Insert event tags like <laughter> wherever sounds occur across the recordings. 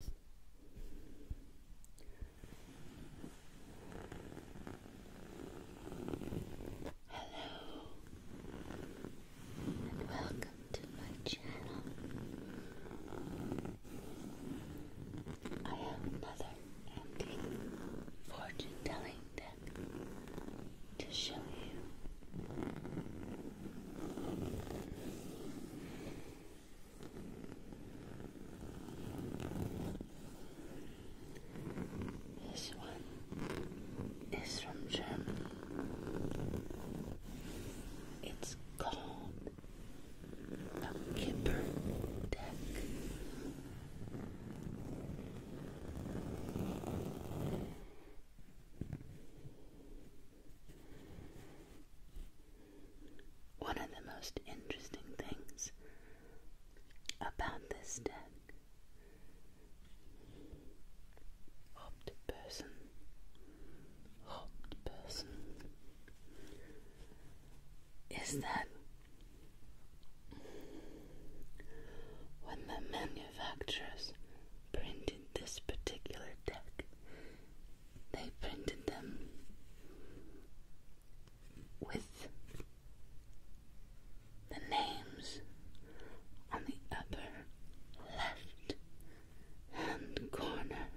Hello and welcome to my channel. I am Mother Andy Fortune Telling Deck to show you this one is from Germany. It's called a Kipper deck. One of the most interesting things about this deck hopped person, hopped person is that when the manufacturers printed this particular deck, they printed them with the names on the upper left hand corner.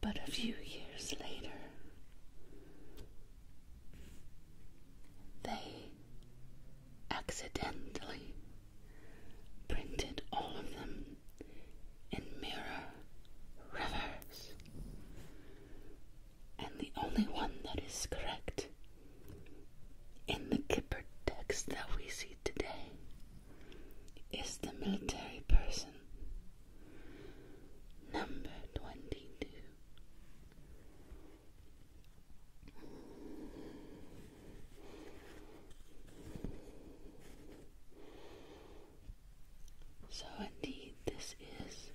But a few years later, they accidentally printed all of them in mirror reverse. And the only one that is correct in the Kipper text that we see today is the military person. Number 22. So, indeed, this is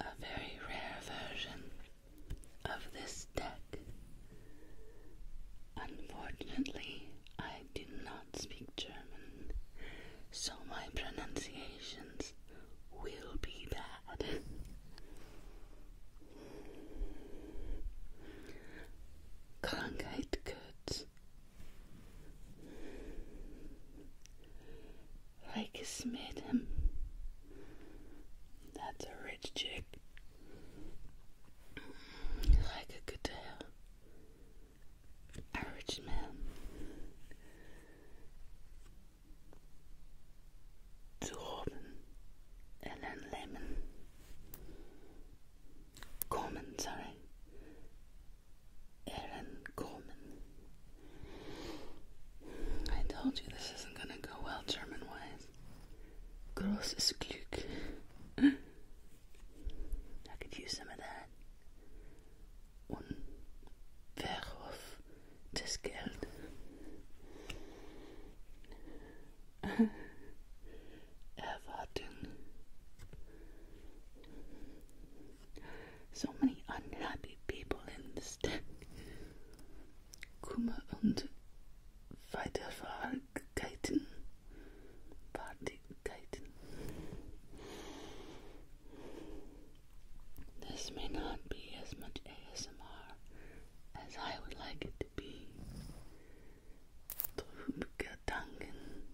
a very rare version of this deck. Unfortunately, I do not speak German, so my pronunciations it will be bad. Krankheit gehört. Reiches Mädchen. That's a rich chick. Rijke Goodell. A rich man. Torben, Ellen Lehman, Gorman, sorry, Aaron Gorman. I told you this isn't gonna go well German-wise. Großes Glück. <laughs> I could use some of that. <laughs> Er so many unhappy people in this town. Kummer und Weiterverhalten. Partykeiten. This may not be as much ASMR as I would like it to be. Drübergedanken.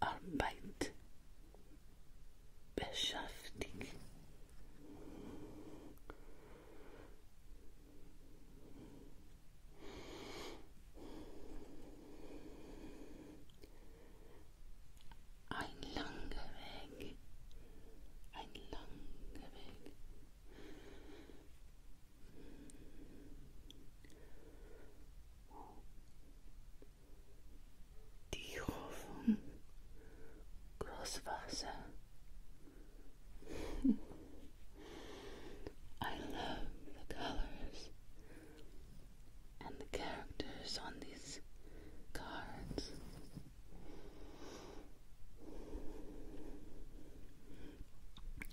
Arbeit. Beschäftigt. A long way. ein langer Weg. Die Hoffnung, Großwasser. I love the colors. and the characters on these cards.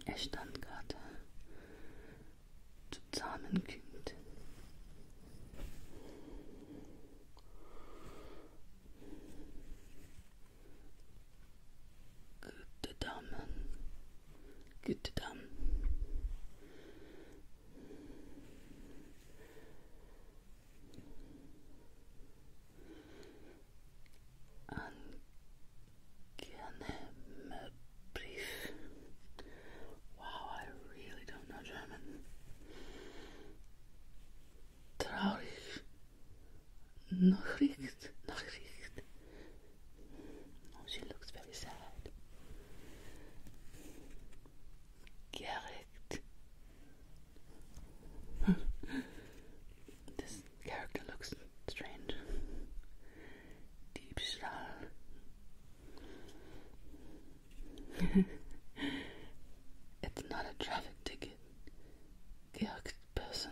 Er stand gerade zusammenkommt. Gute Damen, gute Damen, Brief. Wow, I really don't know German. Traurig. Nachricht. Nachricht. Oh, she looks very sad. Gerrit. this character looks strange. Deep Diebstahl. <laughs> it's not a traffic ticket. Gerrit person.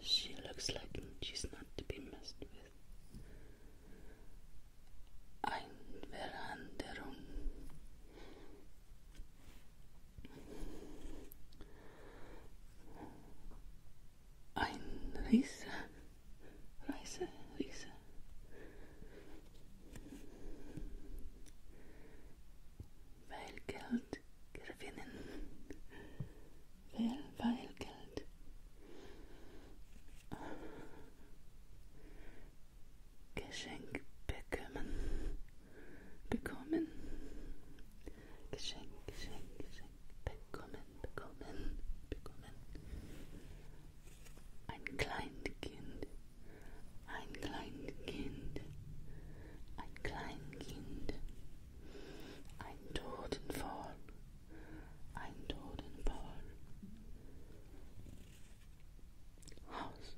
She looks like she's not to be messed with. Einveranderen. Ein Riese. Reise, Riese. weil Geld gewinnen will, weil Geld Geschenk bekommen, bekommen, Geschenk, Geschenk, Geschenk bekommen, bekommen, bekommen. Ein Kleinkind, ein Kleinkind, ein Kleinkind. Ein Totenfall, ein Totenfall. Haus,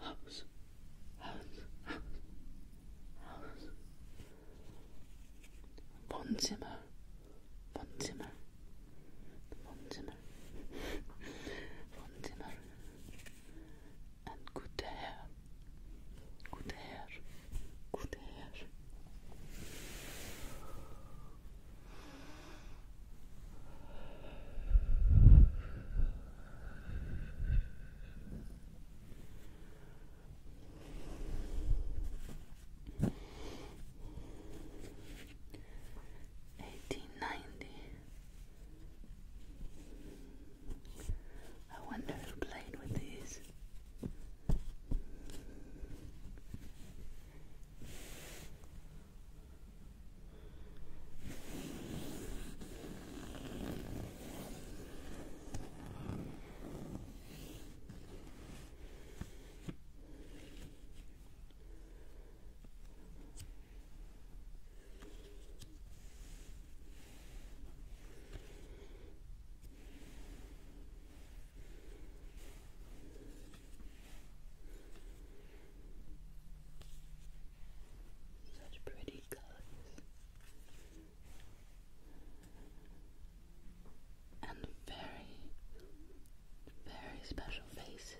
Haus, Haus, Haus, Haus. Wohnzimmer, Wohnzimmer, Wohnzimmer, <laughs> Wohnzimmer, and good hair. Good hair. Good hair. Eighteen ninety I wonder who playing with these. Such pretty colors and very, very special faces.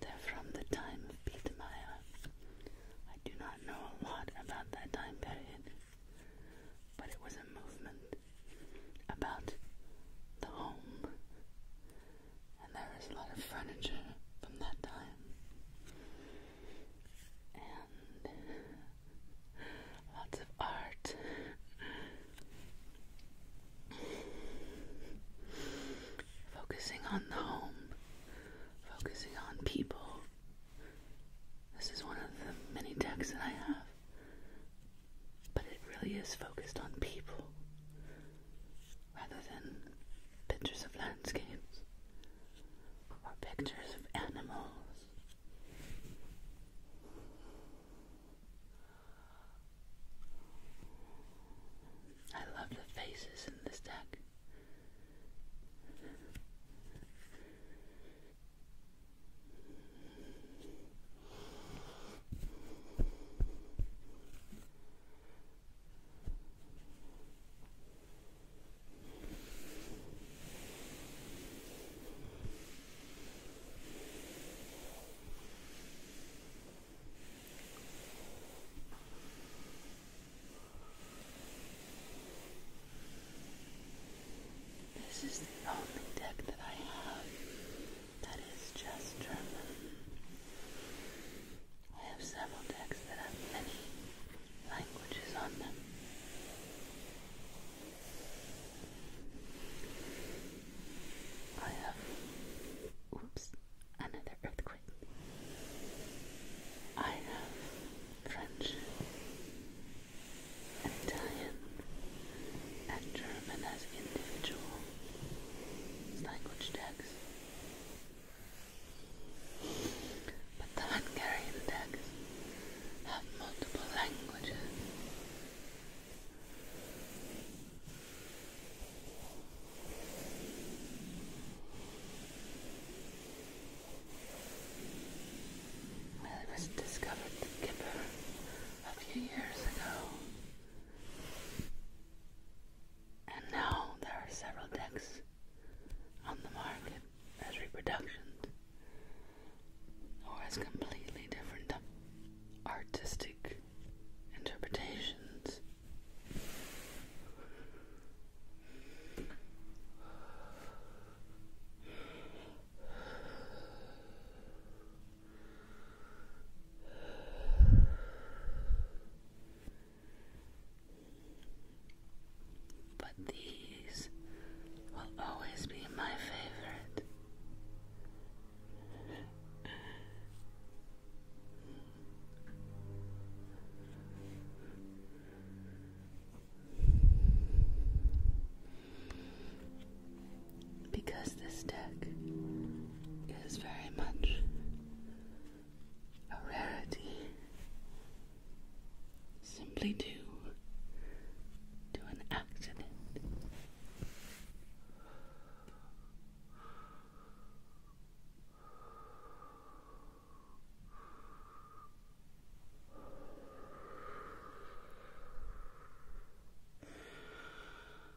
They're from the time of Peter Meyer. I do not know a lot about that time period, but it was a movement about the home and there a lot of furniture from that time, and lots of art. Focusing on the home, focusing on people. This is one of the many decks that I have, but it really is focused on people rather than pictures of landscapes or pictures of animals. I love the faces in this deck. This is the only deck that I have that is just German. I have several decks that have many languages on them. I have, oops, another earthquake. I have French, Italian, and German as individual language decks. But the Hungarian texts have multiple languages. it was discovered in Kipper a few years ago. And now there are several decks on the market as reproductions or as completely different artistic interpretations. But these will always be my favorite because this deck is very much a rarity simply due to an accident.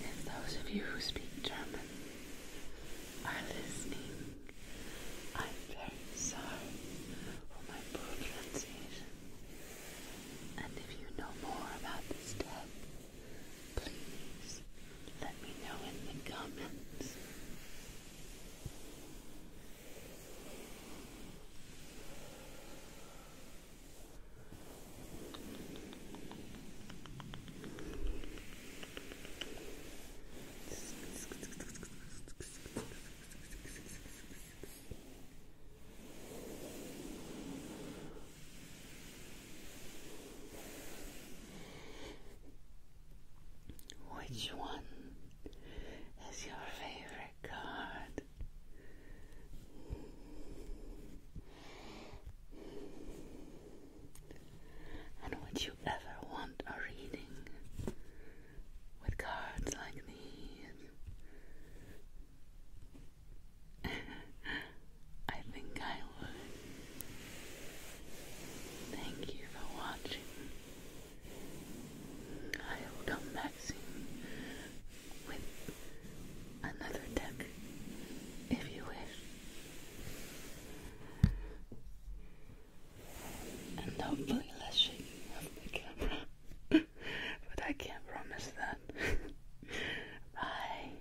If those of you who speak German are listening, I'm very sorry for my poor And if you know more about this death, Please let me know in the comments. Which one is your favorite card? And would you ever want a reading with cards like these? <laughs> I think I would. Thank you for watching. I will come back soon with another deck if you wish. And hopefully less shaking of the camera. <laughs> but I can't promise that. <laughs> Bye.